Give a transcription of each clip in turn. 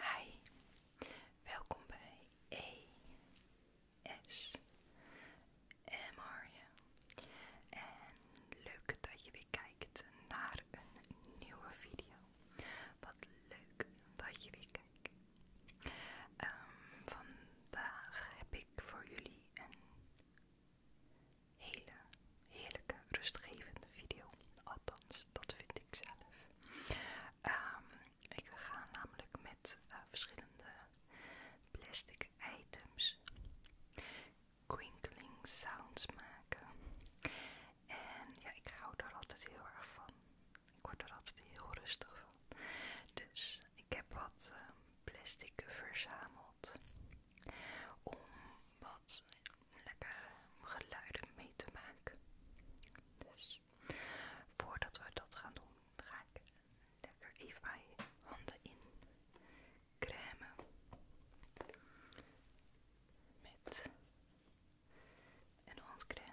Hi, welkom bij ESMR. En leuk dat je weer kijkt naar een nieuwe video. Wat leuk dat je weer kijkt. Ehm, vandaag heb ik voor jullie een hele heerlijke, rustgevende video. Althans, dat vind ik zelf. Ehm, ik ga namelijk met eh, verschillende plastic items crinkling sounds maken. En ja, ik hou daar altijd heel erg van. Ik word er altijd heel rustig van. Dus ik heb wat ehm, plastic verzameld om om lekker geluiden mee te maken. Dus voordat we dat gaan doen, ga ik lekker even mijn handen in crème met een handcrème.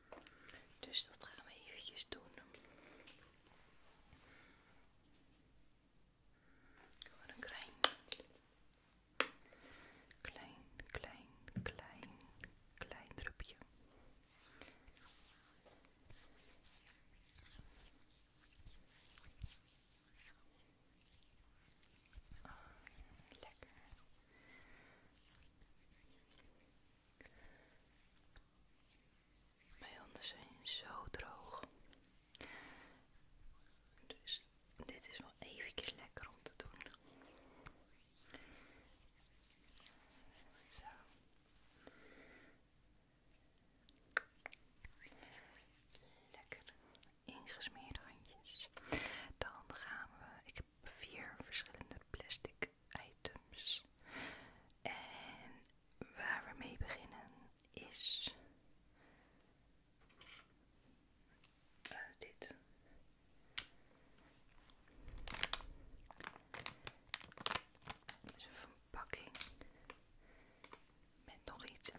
Dus dat gaan we eventjes doen. Gewoon oh, een klein, klein, klein, klein, klein drupje. lekker. Mijn handen zijn zo droog. Dus dit is wel eventjes lekker om te doen. Lekker ingesmeerd handjes. Dan gaan we. Ik heb vier verschillende plastic items. En waar we mee beginnen is eh, dit. Dat verpakking met nog iets in.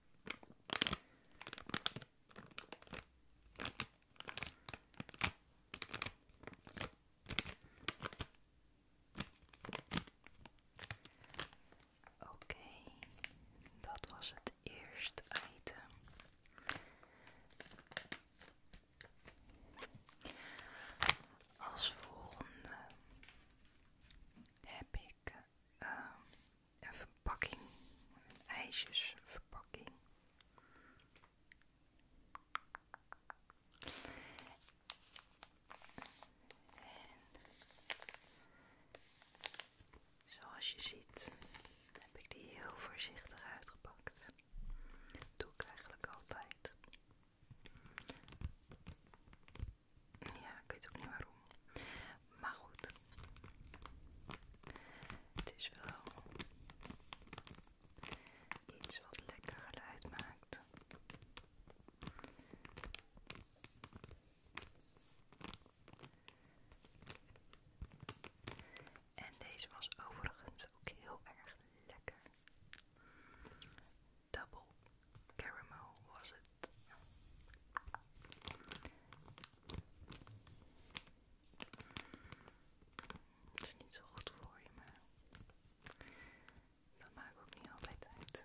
Oké, dat was het eerste item. Als volgende heb ik Ehm, een verpakking, een ijsjesverpakking. En zoals je ziet heb ik die heel voorzichtig uitgepakt. doe ik eigenlijk altijd. Ja, ik weet ook niet waarom. Maar goed. Het is wel iets wat lekker geluid maakt. En deze was overigens ook heel erg lekker. Double caramel was het. Het is niet zo goed voor je, maar dat maakt ook niet altijd uit.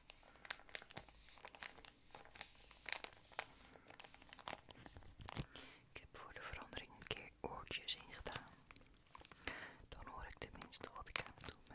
Ik heb voor de verandering een keer oortjes ingedaan. Dan hoor ik tenminste wat ik aan het doen ben.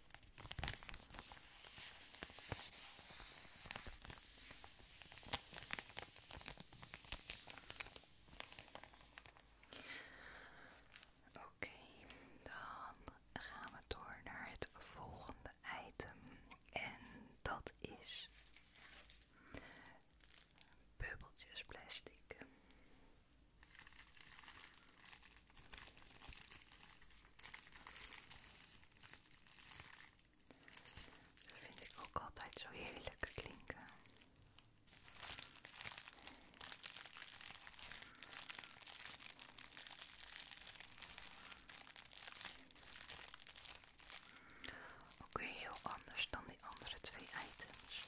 Oké, dan gaan we door naar het volgende item. En dat is bubbeltjes plastic. Dat vind ik ook altijd zo heerlijk klinken. Ook weer heel anders dan die andere twee items.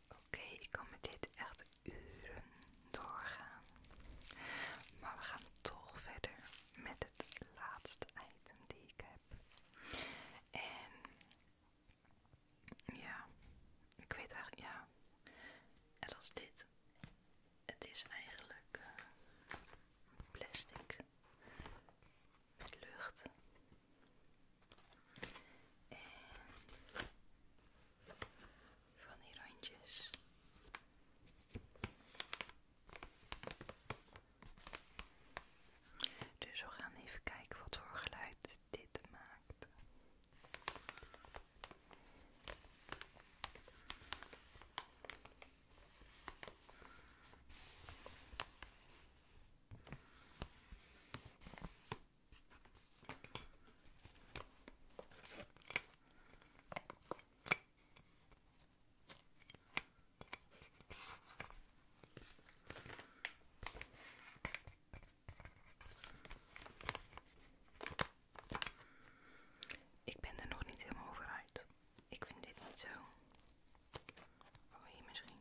Oké, ik kan met dit echt uren doorgaan. Maar we gaan toch verder met het laatste item die ik heb. En ja, ik weet eigenlijk, ja. En dit. Het is eigenlijk eh, plastic met lucht. En van die Dus we gaan even kijken wat voor geluid dit maakt. Ik ben er nog niet helemaal over uit. Ik vind dit niet zo. hier misschien.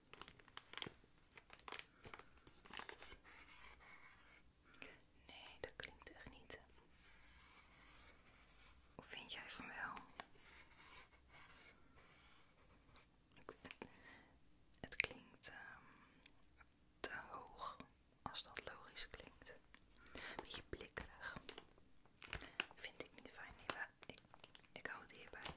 Nee, dat klinkt echt niet. Hoe vind jij van wel? Het klinkt ehm, te hoog, als dat logisch klinkt. beetje blikkerig. Vind ik niet fijn. Ik, ik hou het hierbij.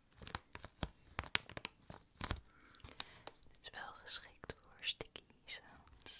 Het is wel geschikt voor sticky sounds.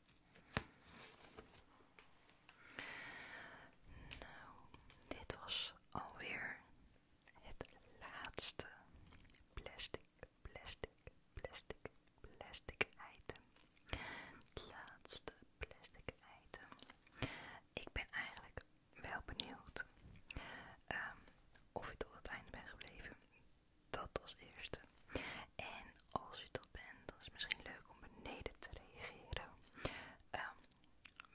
Nou, dit was alweer het laatste plastic, plastic, plastic, plastic item. Het laatste plastic item. Ik ben eigenlijk wel benieuwd ehm, of ik tot het einde ben gebleven. Dat als eerste. En als je dat bent, dan is het misschien leuk om beneden te reageren. Ehm,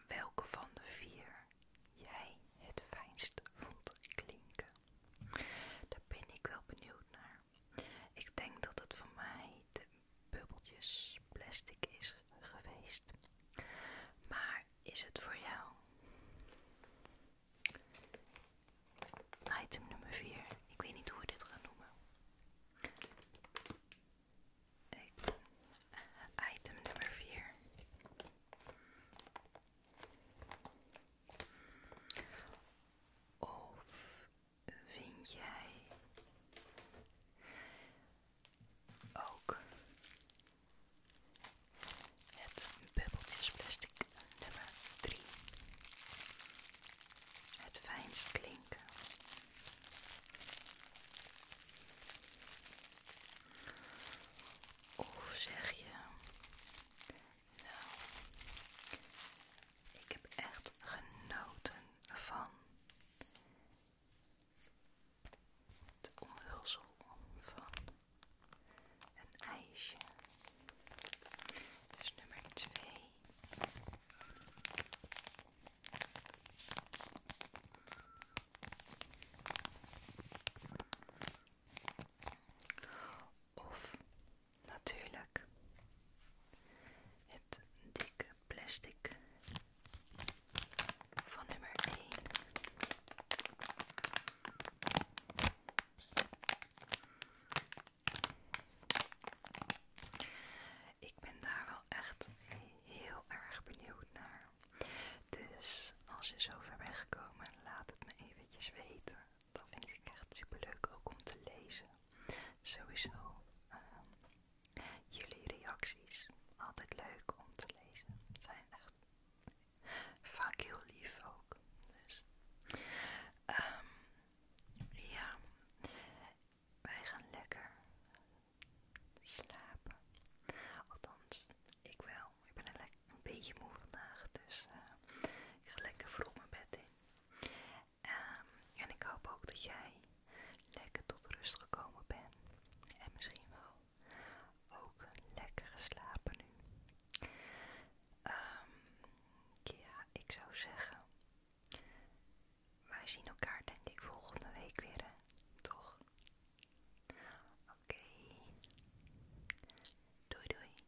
welke van de vier jij het fijnst vond klinken. Daar ben ik wel benieuwd naar. Ik denk dat het voor mij de bubbeltjes plastic is geweest. Maar is het voor jou? Item nummer 4. Ik weet niet hoe we dit gaan noemen. Item nummer 4. Of vind jij ook het bubbeltjesplastic nummer 3 het fijnst klinken. Of zeg je, nou, ik heb echt genoten van het omhulsel van een ijsje. Dus nummer 2 of natuurlijk het dikke plastic van nummer 1. Ik ben daar wel echt heel erg benieuwd naar. Dus als je zover bent gekomen, laat het me eventjes weten. Dat vind ik echt super leuk ook om te lezen. Sowieso ehm, jullie reacties. Altijd leuk om te lezen. Zijn echt vaak heel lief ook. Dus. Ehm, ja, wij gaan lekker slapen. Althans, ik wel. Ik ben een, beetje moe vandaag, dus eh, ik ga lekker vroeg mijn bed in. Ehm, en ik hoop ook dat jij lekker tot rust gekomen bent. En misschien wel ook lekker geslapen nu. Ehm, ja, ik zou zeggen, wij zien elkaar denk ik volgende week weer, toch? Oké. Doei